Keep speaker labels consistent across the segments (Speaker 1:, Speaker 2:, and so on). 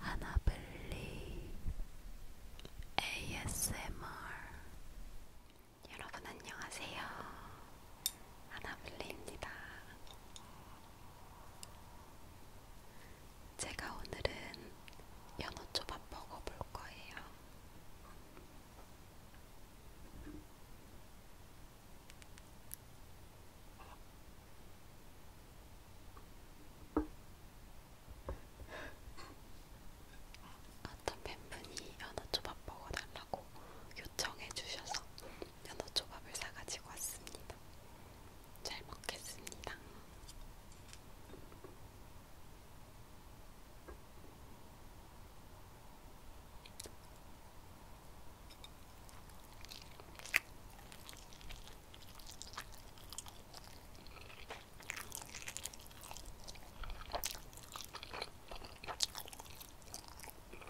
Speaker 1: 하나블리 ASMR 여러분 안녕하세요. 하나블리입니다. 제가 오늘은 연어초밥 먹어볼 거예요. 어떤 팬분이 연어초밥 먹어달라고 요청해 주셔서 연어초밥을 사가지고 왔습니다. 잘 먹겠습니다.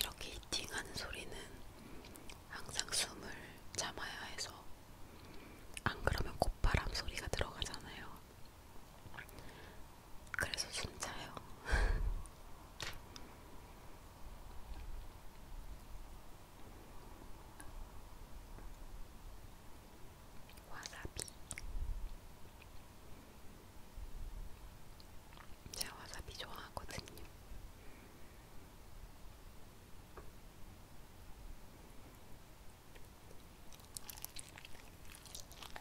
Speaker 1: 이렇게 히팅하는 소리는 항상 숨을 참아야 해서 안 그러면 콧바람 소리가 들어가잖아요. 그래서 순자요. 와사비. 제가 와사비 좋아하거든요.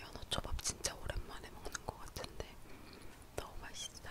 Speaker 1: 연어초밥 진짜 오랜만에 먹는 것 같은데 너무 맛있어요.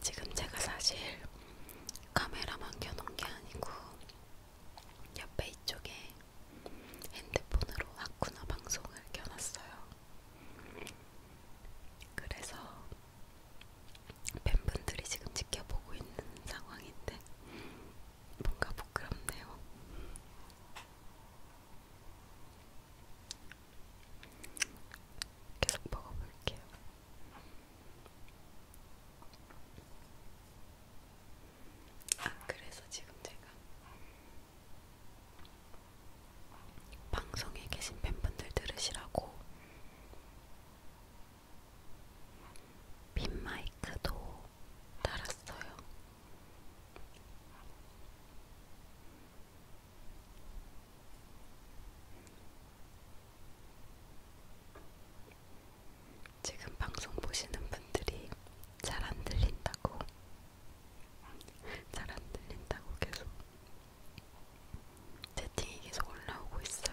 Speaker 1: 지금 제가 사실 카메라만 켜놓은 게 아니고 옆에 이쪽에 핸드폰으로 아쿠나 방송을 켜놨어요. 그래서 팬분들이 지금 지켜보고 있는 상황인데 뭔가 부끄럽네요. 계속 먹어볼게요. 아, 그래서 지금 제가 방송에 계신 팬분들 들으시라고 빈 마이크도 달았어요. 지금 방송 보시는 분들이 잘 안 들린다고, 잘 안 들린다고 계속 채팅이 계속 올라오고 있어요.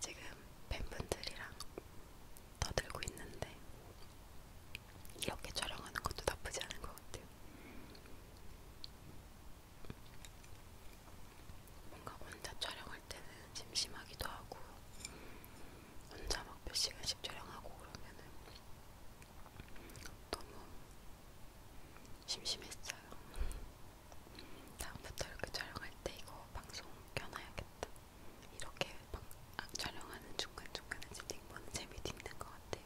Speaker 1: 지금 팬분들이랑 떠들고 있는데 이렇게 촬영하는 것도 나쁘지 않은 것 같아요. 뭔가 혼자 촬영할 때는 심심하기도 하고 혼자 막 몇 시간씩 촬영하고 그러면은 너무 심심했어요. 다음부터 이렇게 촬영할 때 이거 방송 켜놔야겠다. 이렇게 방, 아, 촬영하는 중간중간에 채팅보는 재미도 있는 것 같아요.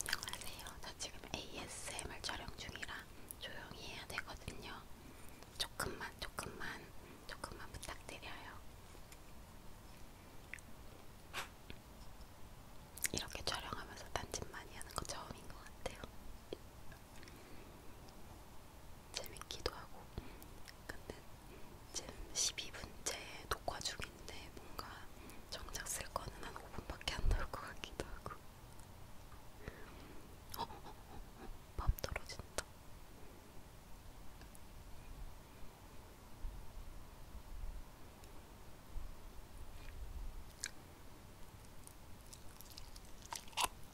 Speaker 1: 안녕하세요. 저 지금 ASMR 촬영 중이라 조용히 해야 되거든요. 조금만, 조금만, 조금만 부탁드려요. 이렇게 촬영하면서 단짓 많이 하는 거 처음인 것 같아요. 재밌기도 하고 근데 지금 12분째 녹화 중인데 뭔가 정작 쓸 거는 한 5분밖에 안 나올 것 같기도 하고 어, 어, 어, 어, 어. 밥 떨어진다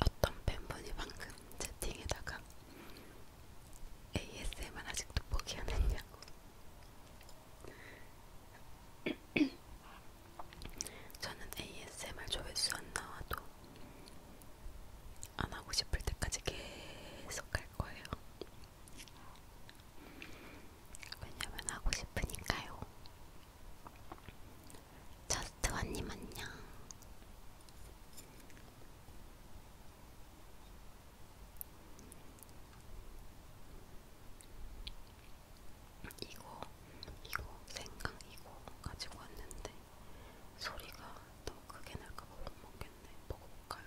Speaker 1: 어떤 팬분이 방금 채팅에다가 ASMR 아직도 포기 안 했냐고. 저는 ASMR 조회수 안 나와도 안 하고 싶을 때까지 계속 할 거예요. 왜냐면 하고 싶으니까요. 저스트원님 안녕. 이거, 이거, 생강 이거 가지고 왔는데 소리가 너무 크게 날까봐 못 먹겠네. 먹어볼까요?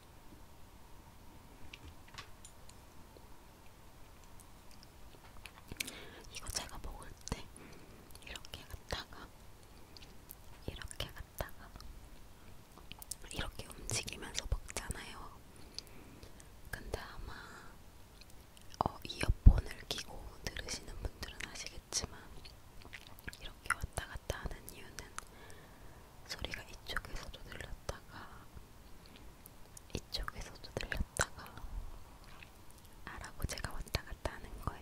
Speaker 1: 이거 제가 먹을 때 이렇게 갔다가 이렇게 갔다가 이렇게 움직이면서 먹잖아요. 근데 아마 어, 이어폰을 끼고 들으시는 분들은 아시겠지만 이렇게 왔다 갔다 하는 이유는 소리가 이쪽에서도 들렸다가 이쪽에서도 들렸다가 아라고 제가 왔다 갔다 하는 거예요.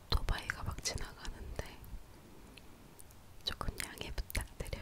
Speaker 1: 오토바이가 막 지나가는데 조금 양해 부탁드려요.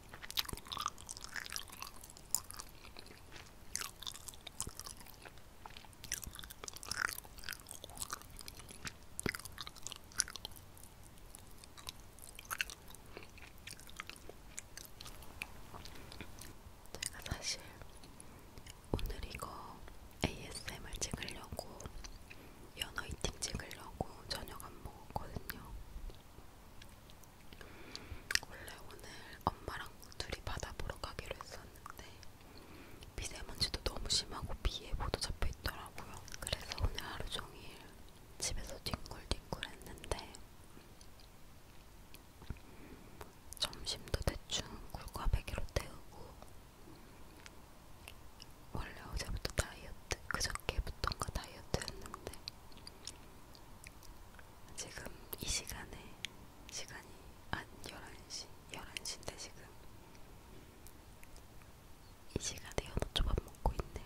Speaker 1: 제가 사실 오늘 이거 ASMR 찍으려고 연어 이팅 찍으려고 저녁 안 먹었거든요. 원래 오늘 엄마랑 둘이 바다 보러 가기로 했었는데 미세먼지도 너무 심하고 비에 모두 잡혀 있더라고요. 그래서 오늘 하루 종일 집에서 뒹굴뒹굴 했는데 점심도 대충 굴과 베개로 때우고 원래 어제부터 다이어트, 그저께부터인가 다이어트 했는데 지금 이 시간에 시간이 한 11시 11시인데 지금 이 시간에 연어초밥 먹고 있네요.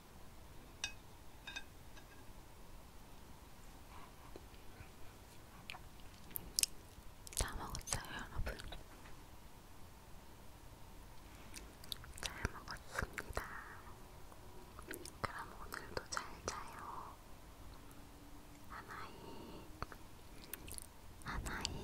Speaker 1: 다 먹었어요, 여러분. 잘 먹었습니다. 그럼 오늘도 잘 자요. 하나이, 하나이.